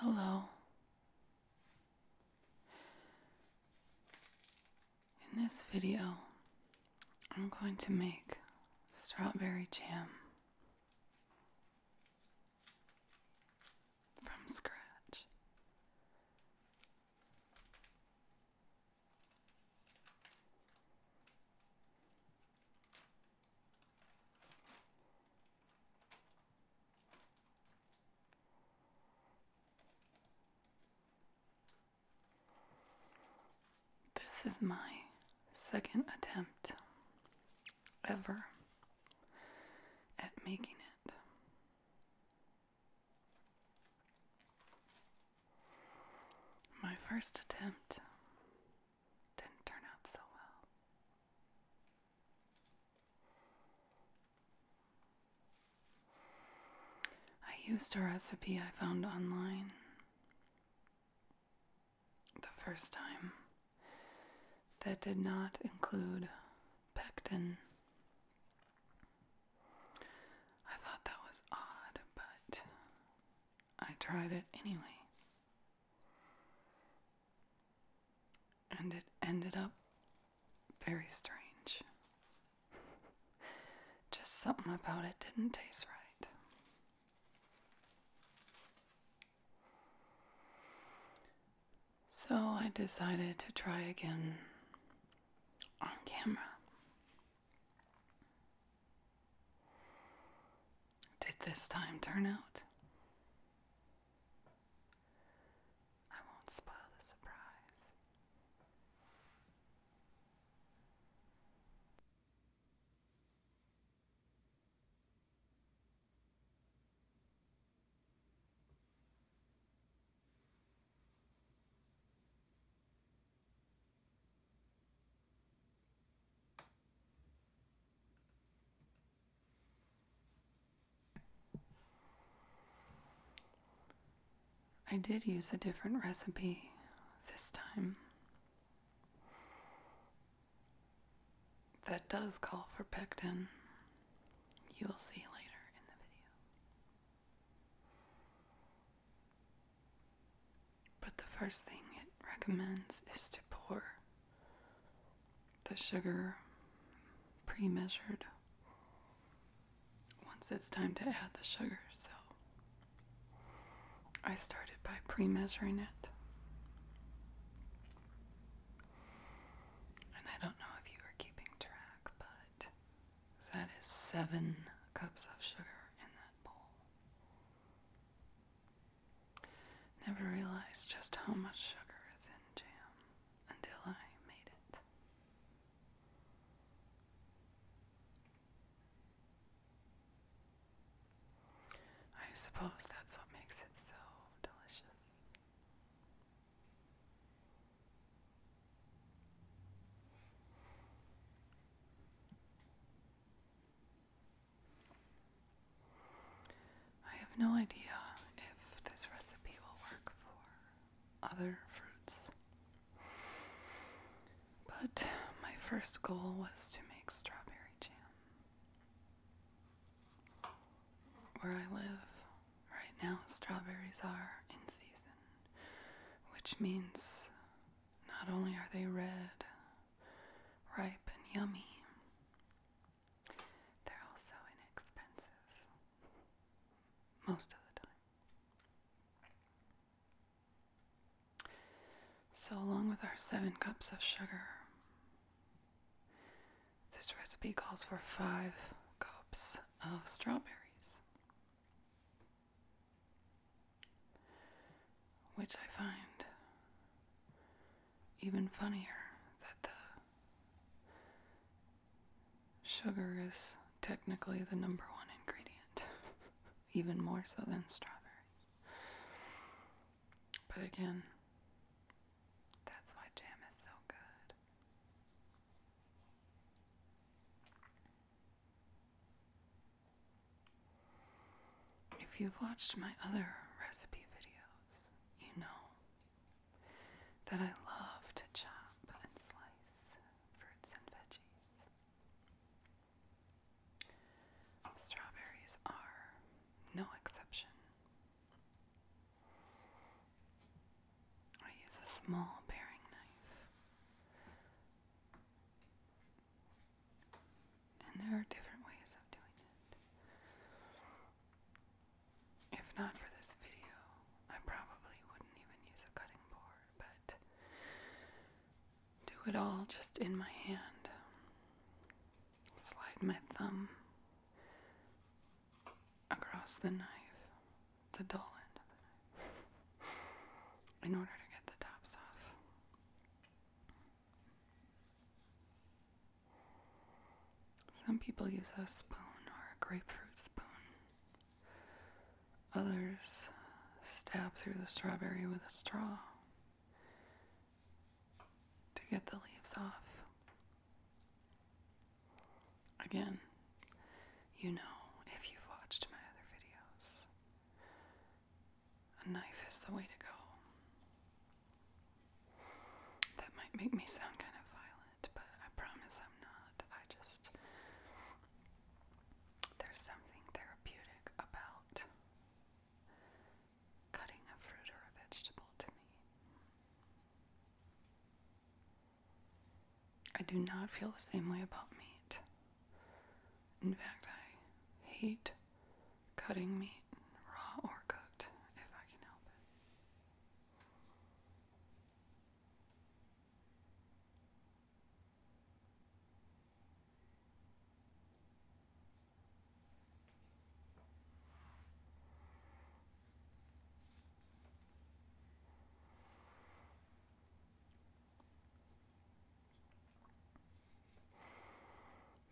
Hello. In this video, I'm going to make strawberry jam from scratch. This is my second attempt ever at making it. My first attempt didn't turn out so well. I used a recipe I found online the first time that did not include pectin. I thought that was odd, but I tried it anyway. And it ended up very strange. Just something about it didn't taste right. So I decided to try again on camera. Did this time turn out? I won't spoil the surprise. I did use a different recipe this time that does call for pectin. You will see later in the video. But the first thing it recommends is to pour the sugar pre measured once it's time to add the sugar. So I started by pre measuring it. And I don't know if you are keeping track, but that is seven cups of sugar in that bowl. Never realized just how much sugar is in jam until I made it. I suppose that's what makes it so delicious. I have no idea if this recipe will work for other fruits. But my first goal was to make strawberry jam. Where I live right now, strawberries are in season, which means not only are they red ripe and yummy. They're also inexpensive most of the time. So, along with our seven cups of sugar, this recipe calls for five cups of strawberries. Which I find even funnier that the sugar is technically the number one ingredient, even more so than strawberries. But again, that's why jam is so good. If you've watched my other recipe videos, you know that I love to chop and slice fruits and veggies. Strawberries are no exception. I use a small paring knife and there are different ways of doing it. If not for this video, I probably wouldn't even use a cutting board, but do it all just in my hand. Slide my thumb across the knife, the dull end of the knife, in order to get the tops off. Some people use a spoon or a grapefruit spoon. Others stab through the strawberry with a straw to get the leaves off. Again, you know if you've watched my other videos a knife is the way to go. That might make me sound kind of violent, but I promise I'm not. I just. There's something therapeutic about cutting a fruit or a vegetable to me. I do not feel the same way about meat. In fact, I hate cutting meat, raw or cooked, if I can help it.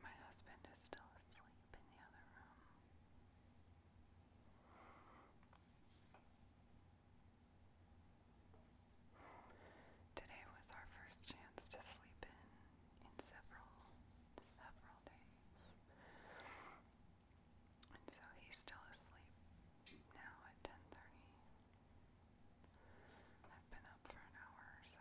My husband is still asleep in the other room. Today was our first chance to sleep in in several several days. And so he's still asleep now at 10:30. I've been up for an hour or so.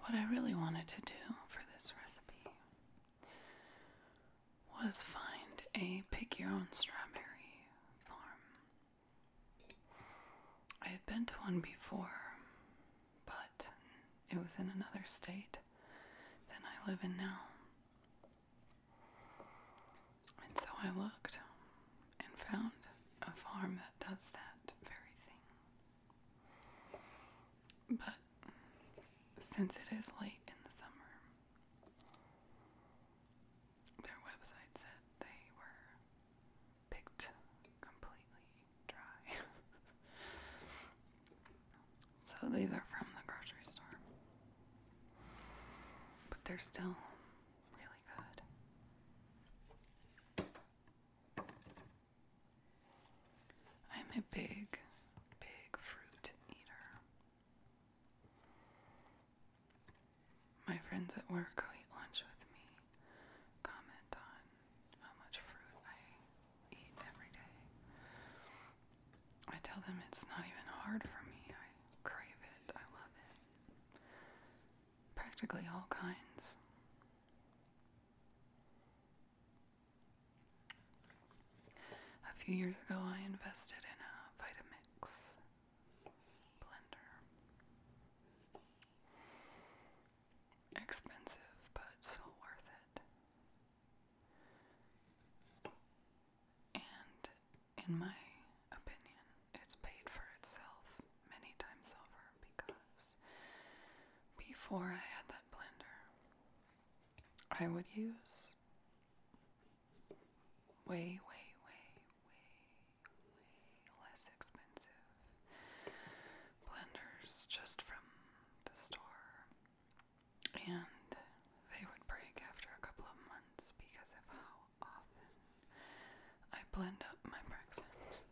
What I really wanted to do for this recipe was find a pick your own strawberry farm. I had been to one before, but it was in another state than I live in now. And so I looked and found a farm that does that very thing. But since it is late in the summer, their website said they were picked completely dry. So these are from the grocery store. But they're still really good. I'm a big, big fruit eater. My friends at work who eat lunch with me comment on how much fruit I eat every day. I tell them it's not even hard for me. I crave it. I love it. Practically all kinds. A few years ago, I invested in a Vitamix blender. Expensive, but so worth it. And in my opinion, it's paid for itself many times over because before I had that blender, I would use way, way, way, way, way less expensive blenders just from the store and they would break after a couple of months because of how often I blend up my breakfast.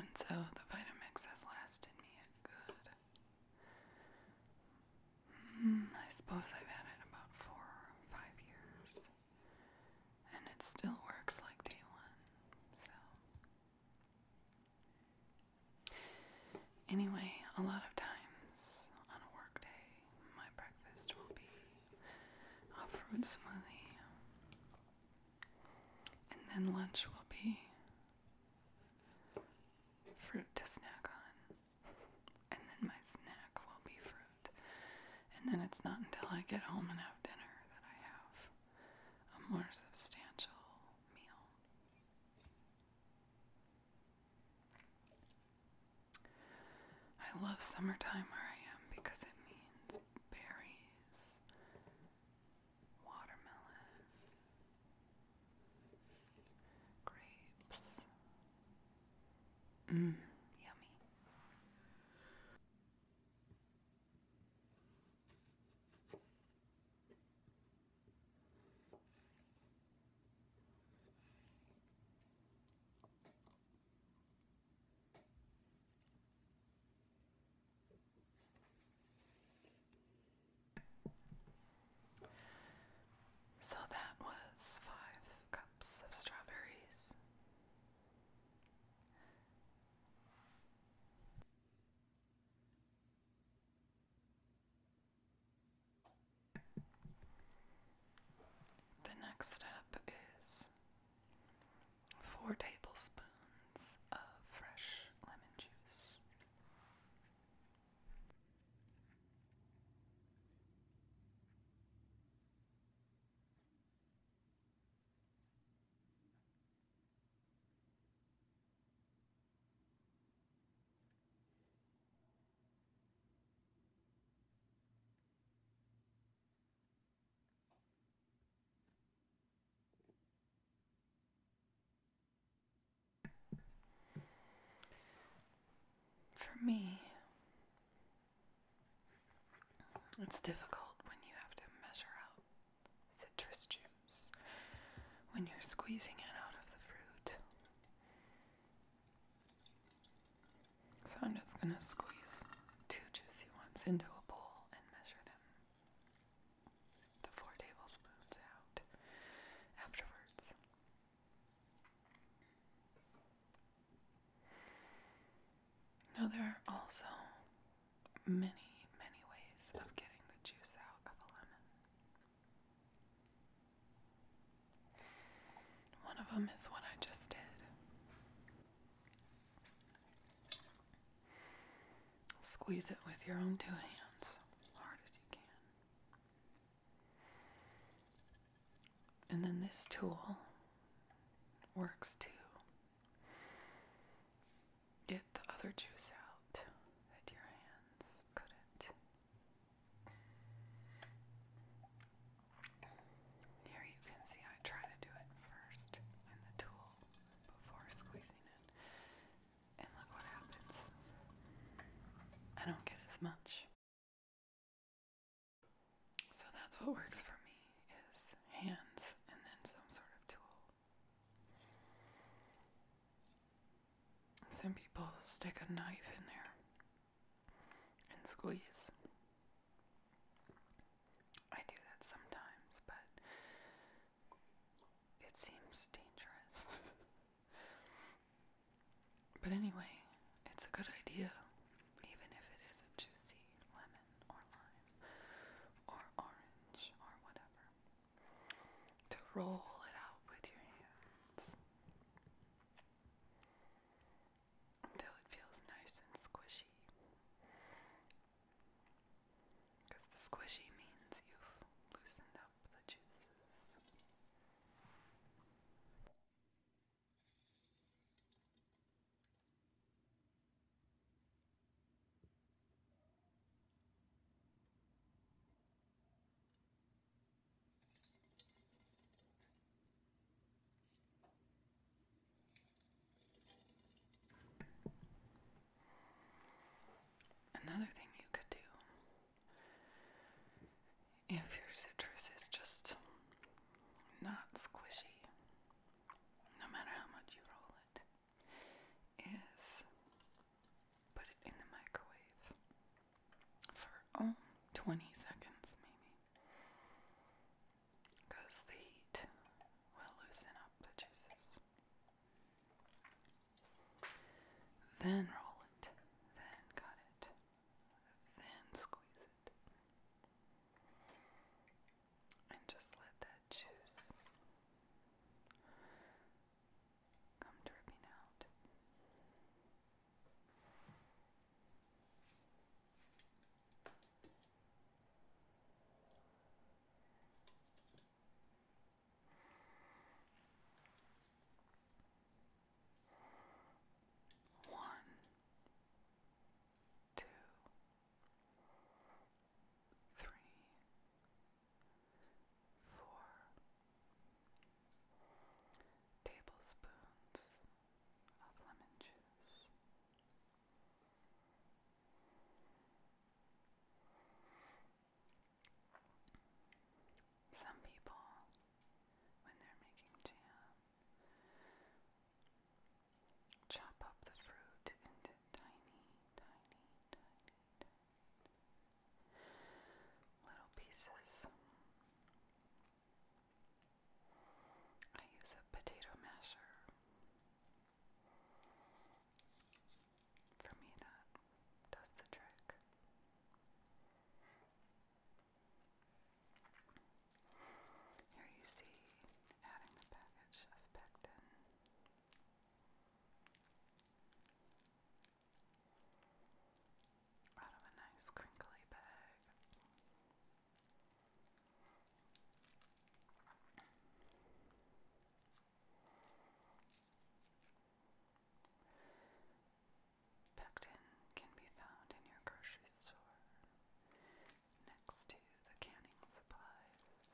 And so the Vitamix has lasted me a good. Hmm, I suppose I've had it about four or five years. And it still works like day one. So Anyway, a lot of times on a work day, my breakfast will be a fruit smoothie, and then lunch will be fruit to snack on, and then my snack will be fruit, and then it's not until I get home and have dinner that I have a more substantial meal. I love summertime where I am because it means berries, watermelon, grapes. Mmm, yummy. So that was five cups of strawberries. The next step is four tablespoons of fresh lemon juice. For me, it's difficult when you have to measure out citrus juice when you're squeezing it out of the fruit. So I'm just going to squeeze two juicy ones into a bowl and measure them the four tablespoons out afterwards. Now, there are also many, many ways of getting the juice out of a lemon. One of them is what I just did. Squeeze it with your own two hands, hard as you can. And then this tool works too. Get the other juice out that your hands couldn't. Here you can see I try to do it first in the tool before squeezing it. And look what happens. I don't get as much. So that's what works for me is hands and then some sort of tool. Some people stick a knife in there and squeeze. I do that sometimes, but it seems dangerous. but anyway, it's a good idea, even if it is a juicy lemon or lime or orange or whatever to roll it out with your hands until it feels nice and squishy. Because the squishy means you've loosened up the juices. Another thing you could do if your citrus is just not squishy, no matter how much you roll it, is put it in the microwave for oh, seconds maybe. Because the heat will loosen up the juices. Then roll it, then cut it, then squeeze it and just let that juice come dripping out. One, two, three, four tablespoons of lemon juice. Some people, when they're making jam, Chop up the fruit into tiny, tiny, tiny, little pieces. I use a potato masher. For me, that does the trick. Here you see adding the package of pectin out of a nice crinkly bag. Pectin can be found in your grocery store next to the canning supplies.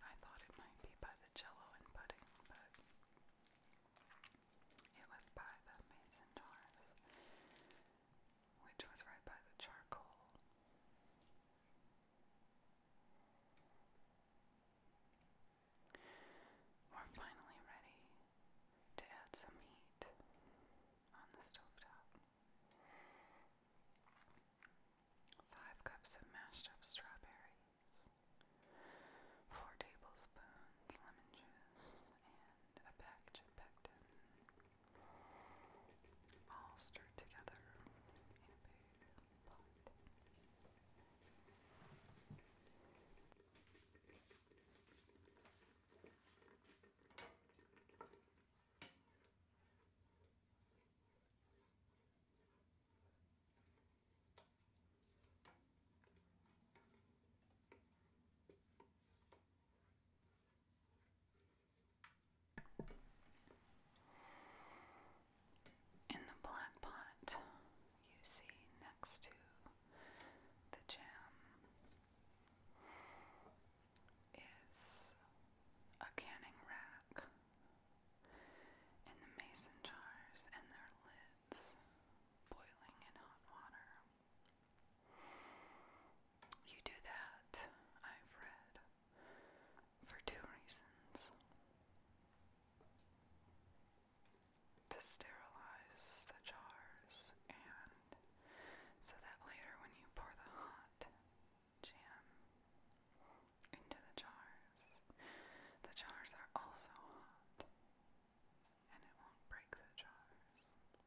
I thought it might be by the jello and pudding, but it was by the mason jars, which was right by the charcoal. We're finally ready to add some heat on the stovetop. 5 cups of mashed up strawberries, 4 tablespoons lemon juice, and a package of pectin. All stirred together in a big pot. In the black pot you see next to the jam is a canning rack and the mason jars and their lids boiling in hot water. You do that, I've read, for two reasons to sterilize the jars and so that later when you pour the hot jam into the jars, the jars are also hot and it won't break the jars.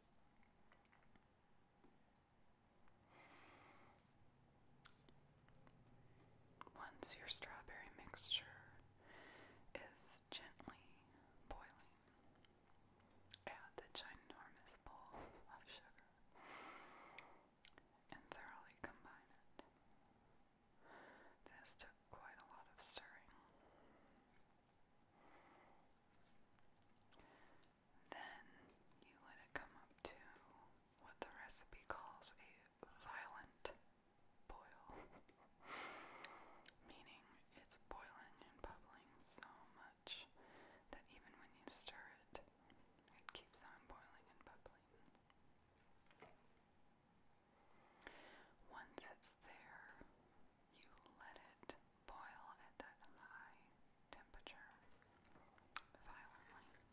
Once your strawberry mixture is gently boiling, add the ginormous bowl of sugar and thoroughly combine it. This took quite a lot of stirring. Then you let it come up to what the recipe calls a violent boil, meaning it's boiling and bubbling so much much that even when you stir it, it keeps on boiling and bubbling. Once it's there, you let it boil at that high temperature violently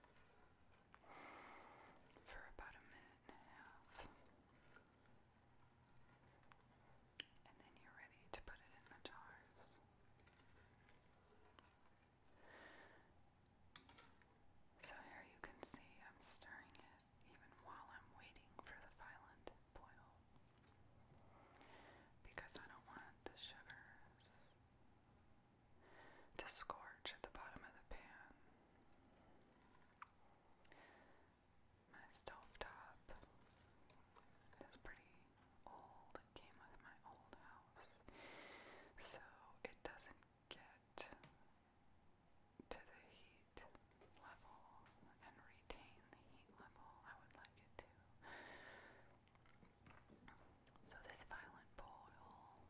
for about a minute and a half and then you're ready to put it in the jars. So here you can see I'm stirring it even while I'm waiting for the phylum to boil because I don't want the sugars to scorch at the bottom of the pan. My stove top is pretty old. It came with my old house. So it doesn't get to the heat level and retain the heat level I would like it to. So this violent boil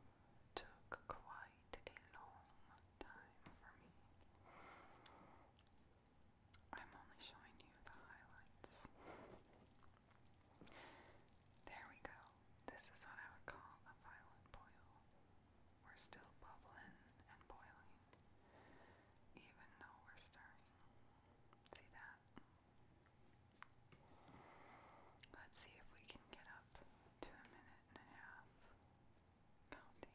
took quite a long time for me. I'm only showing you the highlights. There we go. This is what I would call a violent boil. We're still bubbling and boiling, even though we're stirring. See that? Let's see if we can get up to a minute and a half counting.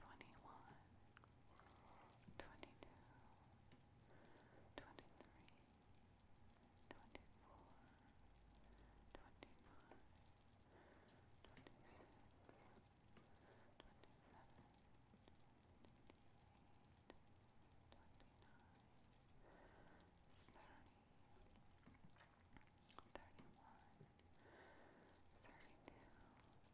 twenty-one, twenty-two, twenty-three, twenty-four, twenty-five, twenty-six, twenty-seven, twenty-eight, twenty-nine, thirty. 31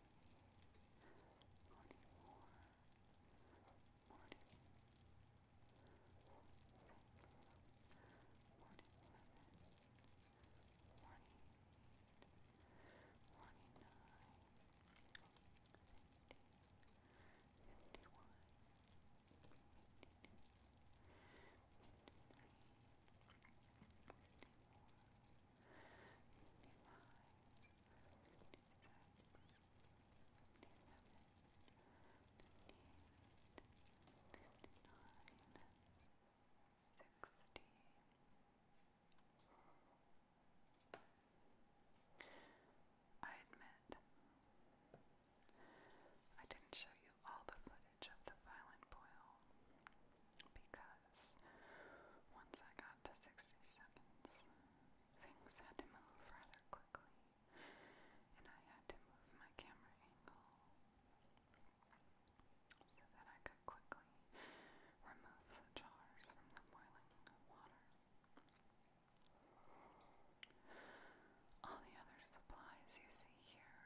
Morning War, Morning Six, Morning Seven, Morning Eight, Morning Nine, Fifty, Fifty-one, Fifty-two, Fifty-three, Fifty-four, Fifty-five, Fifty-six, Fifty-seven, Fifty-eight, Fifty-nine, Fifty I admit, I didn't show you all the footage of the violent boil because once I got to 60 seconds. Things had to move rather quickly, and I had to move my camera angle so that I could quickly remove the jars from the boiling water. All the other supplies you see here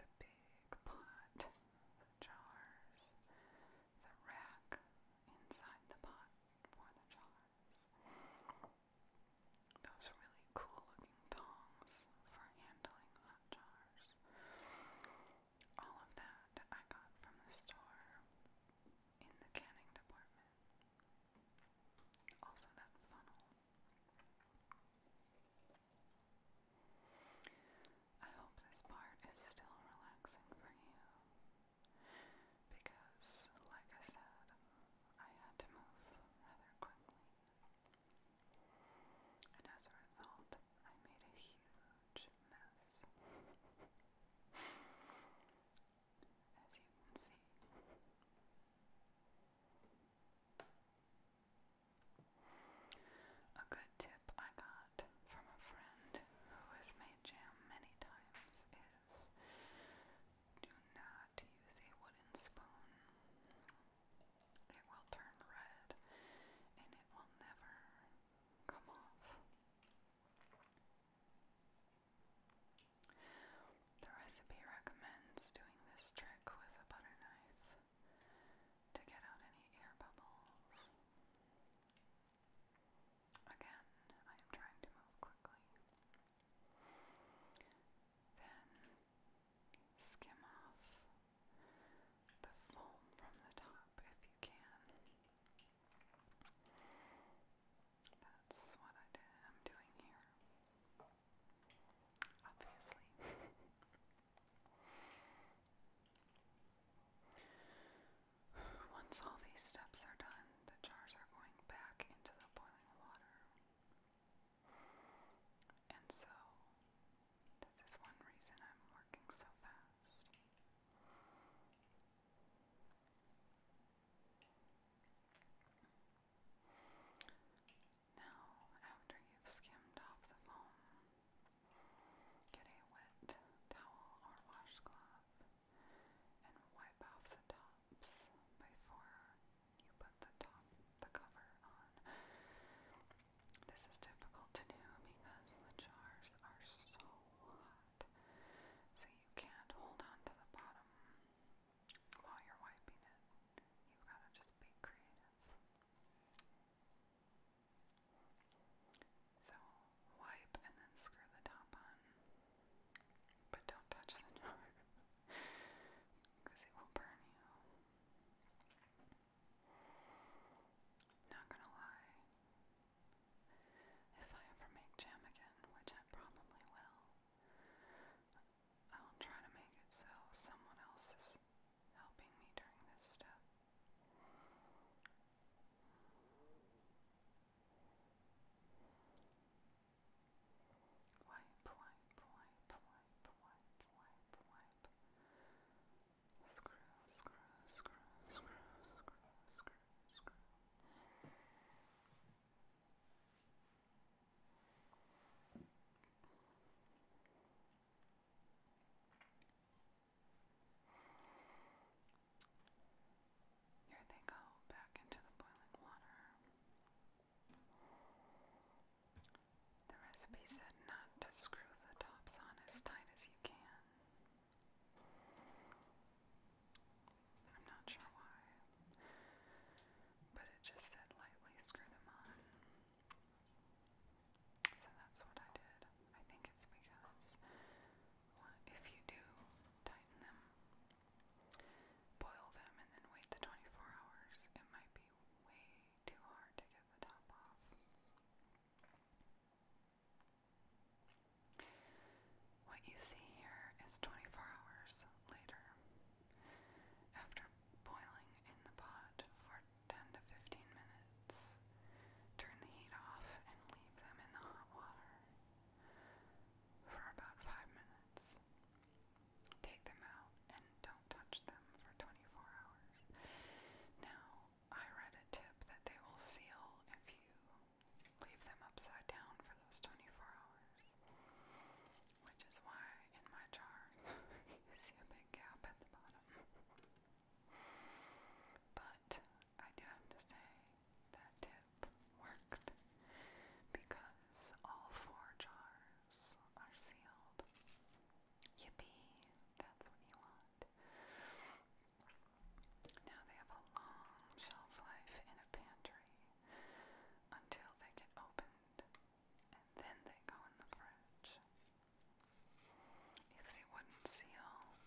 the big pot, the jars, the rack inside the pot for the jars. Those really cool looking tongs for handling hot jars. All of that I got from the store in the canning department. Also, that funnel. I hope this part is still relaxing for you because, like I said, I had to move rather quickly. And as a result, I made a huge mess. as you can see. A good tip I got from a friend who has made jam many times is do not use a wooden spoon. It will turn red and it will never come off. The recipe recommends doing this trick with a butter knife to get out any air bubbles. Again, I am trying to move quickly. Then skim off the foam from the top if you can. That's what I am doing here. Obviously. Once all these steps are done, the jars are going back into the boiling water. And so, this is one reason I'm working so fast. Now, after you've skimmed off the foam, Get a wet towel or washcloth and wipe off the tops before you put the top the cover on. This is difficult to do because the jars are so hot. So you can't hold on to the bottom while you're wiping it. you got to just be creative. So wipe and then screw the top on. But don't touch the jar because it will burn you. Not gonna lie, if I ever make jam again, which I probably will, I'll try to make it so someone else's helping me during this step. Wipe, wipe, wipe, wipe, wipe, wipe, wipe. Screw, screw, screw, screw, screw, screw, screw. Here they go back into the boiling water. The recipe said not to screw the tops on as tight as you can. I'm not sure why, but it just said lightly screw them on. So that's what I did. I think it's because if you do tighten them, boil them, and then wait the 24 hours, it might be way too hard to get the top off. What you see here is 24 hours later. After boiling in the pot for 10 to 15 minutes. Turn the heat off and leave them in the hot water for about 5 minutes. Take them out and don't touch them for 24 hours. Now, I read a tip that they will seal if you leave them upside down for those 24 hours, which is why in my jars you see a big gap at the bottom. But I do have to say that tip worked because all four jars are sealed. Yippee! That's what you want. Now they have a long shelf life in a pantry until they get opened and then they go in the fridge. If they wouldn't seal,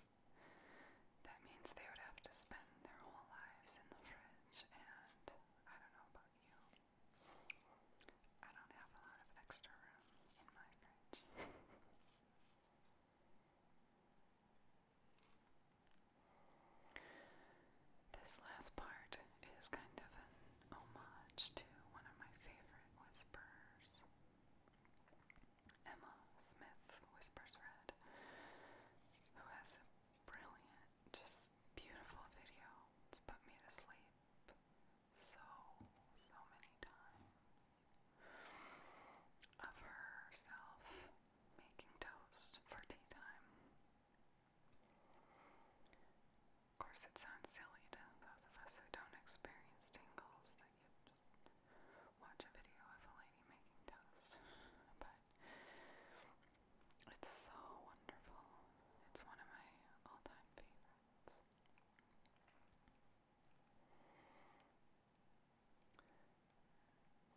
that means they would have to spend their whole lives in the fridge, and I don't know about you. I don't have a lot of extra room in my fridge. This last part is kind of an homage to one of my favorite whisperers. Emma Smith Whispers Red, who has a brilliant, just beautiful video. It's put me to sleep so, so many times of herself making toast for tea time. Of course, it sounds silly to those of us who don't experience tingles that you just watch a video of a lady making toast, but it's so wonderful. It's one of my all time favorites.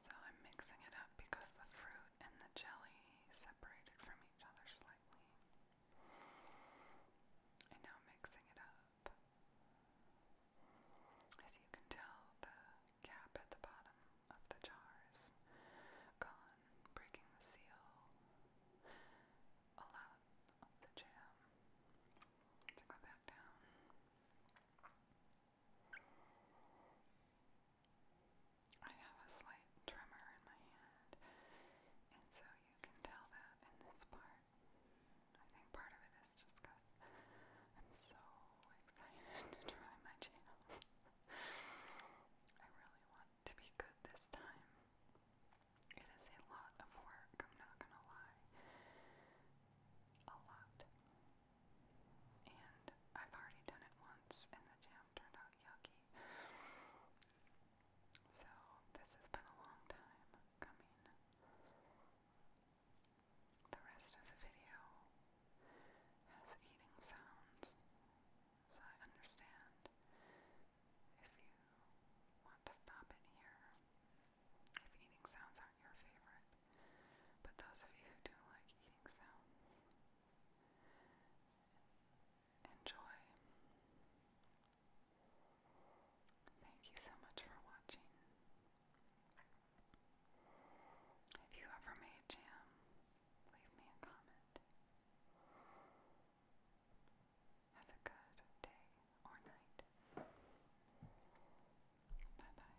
So I'm mixing it up because the fruit and the jelly separated from each other slightly. And now mixing it up. As you can tell, the cap at the bottom of the jar is gone, breaking the seal. A the jam to go back down. I have a slight tremor in my hand, and so you can tell that in this part. I think part of it is just I'm so excited to try my channel. I really want to be good this time. It is a lot of work, I'm not gonna lie. A lot. And I've already done it once in the channel them turned out yucky. So, this has been a long time coming. The rest of the video has eating sounds, so I understand if you want to stop it here, if eating sounds aren't your favorite. But those of you who do like eating sounds, enjoy. Thank you so much for watching. If you ever made jam, leave me a comment. Have a good day or night. Bye bye.